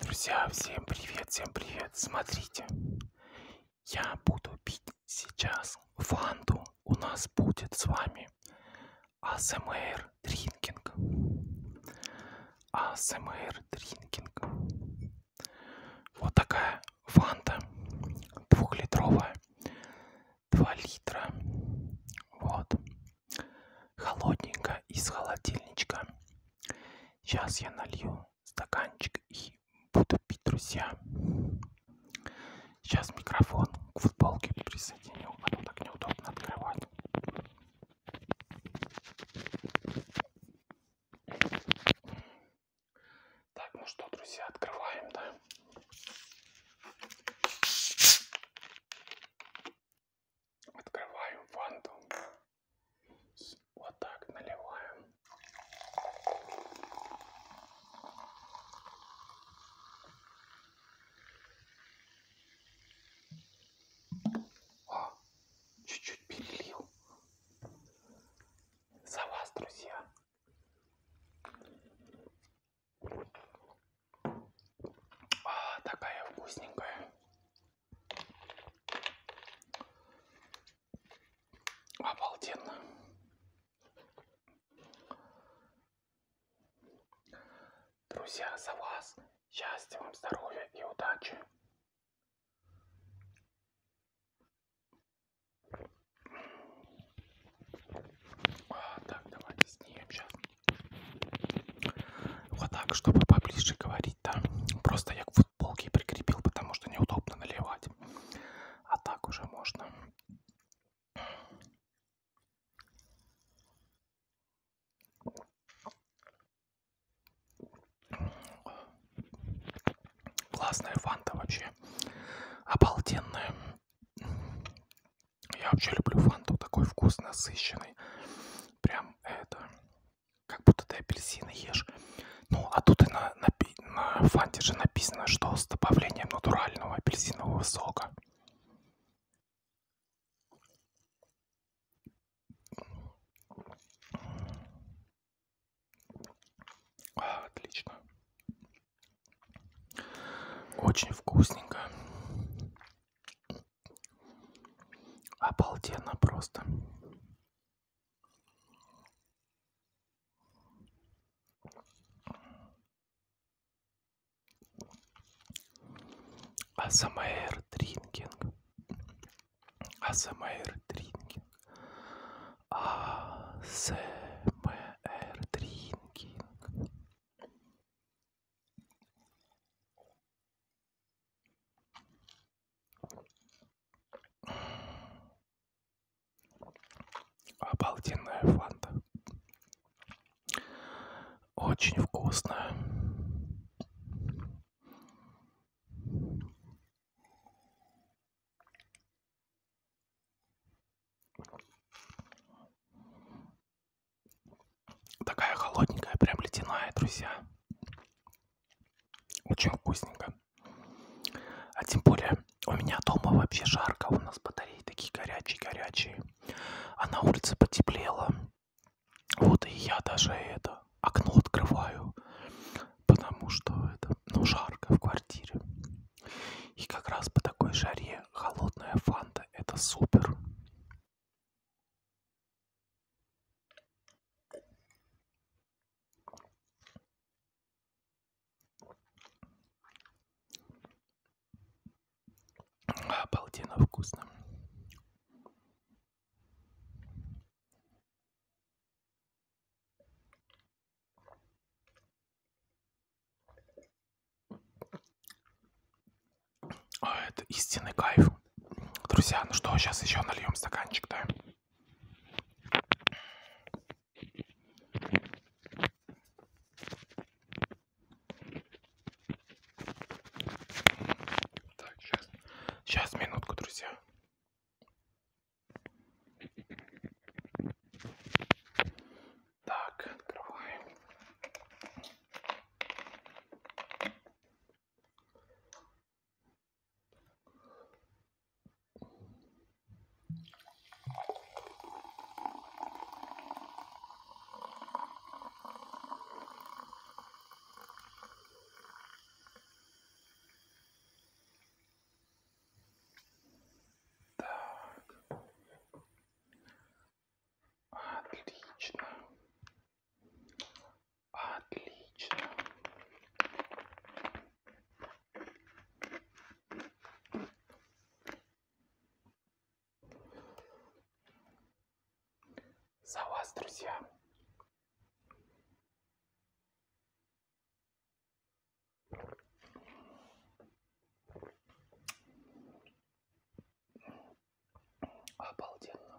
Друзья, всем привет, всем привет. Смотрите, я буду пить сейчас фанту. У нас будет с вами АСМР дринкинг. АСМР дринкинг. Вот такая фанта двухлитровая. 2 литра. Вот холодненько из холодильничка. Сейчас я налью стаканчик и буду пить, друзья. Сейчас микрофон к футболке присоединю, а то так неудобно открывать. Так, ну что, друзья, открываем, да? Открываем фанту. Вот так наливаем. О, чуть-чуть перелил. За вас, друзья. А, такая вкусненькая. Обалденно. Друзья, за вас счастья вам, здоровья и удачи. А, так, давайте снимем сейчас. Вот так, чтобы поближе говорить, да. Просто я к футболке прикрепил, потому что неудобно наливать. А так уже можно. Классная фанта вообще. Обалденная. Я вообще люблю фанту, такой вкус насыщенный. Прям это, как будто ты апельсины ешь. Ну, а тут и на, на, на фанте же написано, что с добавлением натурального апельсинового сока. А, отлично. Очень вкусненько. Обалденно просто. АСМР дринкинг. АСМР дринкинг. АСМР дринкинг. Обалденная фанта. Очень вкусная. Такая холодненькая, прям ледяная, друзья. Очень вкусненько. А тем более у меня дома вообще жарко, у нас батареи такие горячие-горячие. А на улице потеплело. Вот и я даже это окно открываю, потому что это, ну, жарко в квартире. И как раз по такой жаре холодная фанта – это супер. Обалденно вкусно. Это истинный кайф. Друзья, ну что, сейчас еще нальем стаканчик, да? Так, сейчас. Сейчас, минутку, друзья. Так, открываем. Так. Отлично. Отлично. За вас, друзья. Обалденно.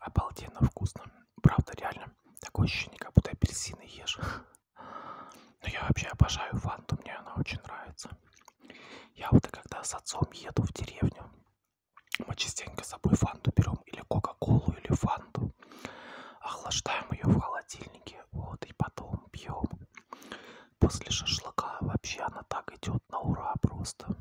Обалденно вкусно. Правда, реально. Такое ощущение, как будто апельсины ешь. Но я вообще обожаю фанту, мне она очень нравится. Я вот и когда с отцом еду в деревню, мы частенько с собой фанту берем, или кока-колу, или фанту. Охлаждаем ее в холодильнике вот, и потом пьем. После шашлыка вообще она так идет на ура просто.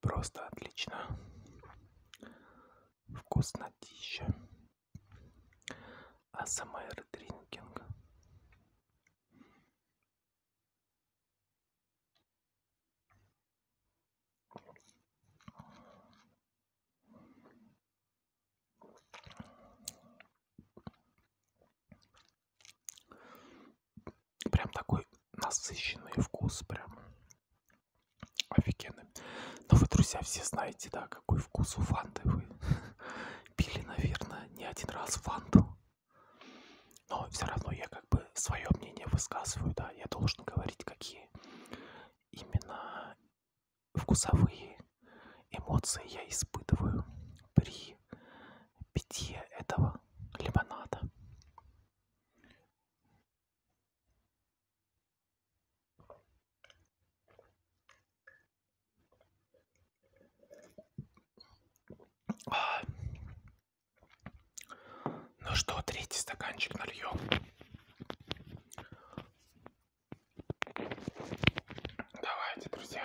Просто отлично вкуснотища. АСМР дринкинг. Прям такой насыщенный вкус, прям Офигенный. Но вы, друзья, все знаете, да, какой вкус у фанты вы пили, наверное, не один раз фанту. Но все равно я как бы свое мнение высказываю, да, я должен говорить, какие именно вкусовые эмоции я испытываю при питье этого лимонада. Ну что, третий стаканчик нальем. Давайте, друзья.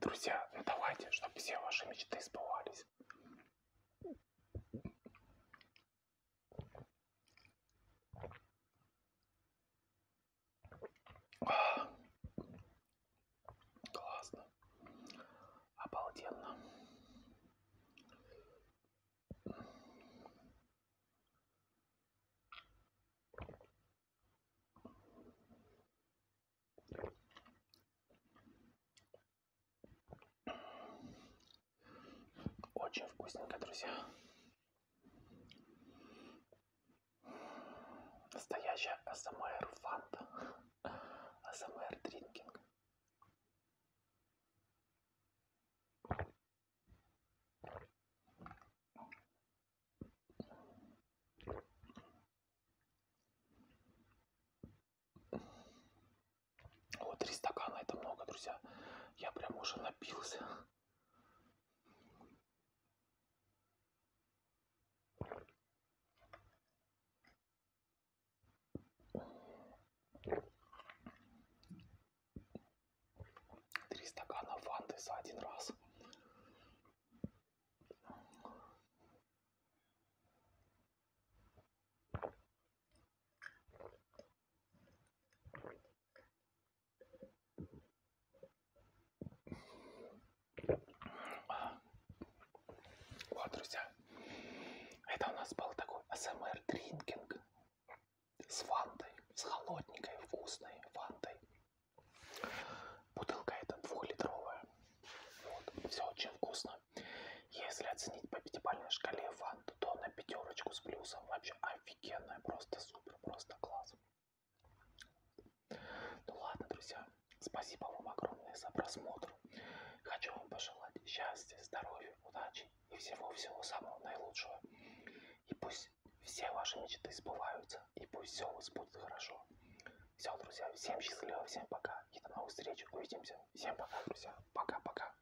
Друзья, ну давайте, чтобы все ваши мечты сбывались. Классно. Обалденно. Очень вкусненько, друзья. Настоящая АСМР фанта. АСМР дринкинг. О, три стакана это много, друзья. Я прям уже напился. Три стакана фанты за один раз. Вот, друзья, это у нас был такой АСМР дринкинг с вантой, с холодненькой вкусной вантой. Бутылка эта двухлитровая. Вот, все очень вкусно. Если оценить по пятибалльной шкале ванту, то на пятерочку с плюсом вообще офигенная, просто супер, просто класс. Ну ладно, друзья, спасибо вам огромное за просмотр. Хочу вам пожелать счастья, здоровья, удачи и всего-всего самого наилучшего. И пусть все ваши мечты сбываются, и пусть все у вас будет хорошо. Все, друзья, всем счастливо, всем пока. И до новых встреч, увидимся. Всем пока, друзья. Пока-пока.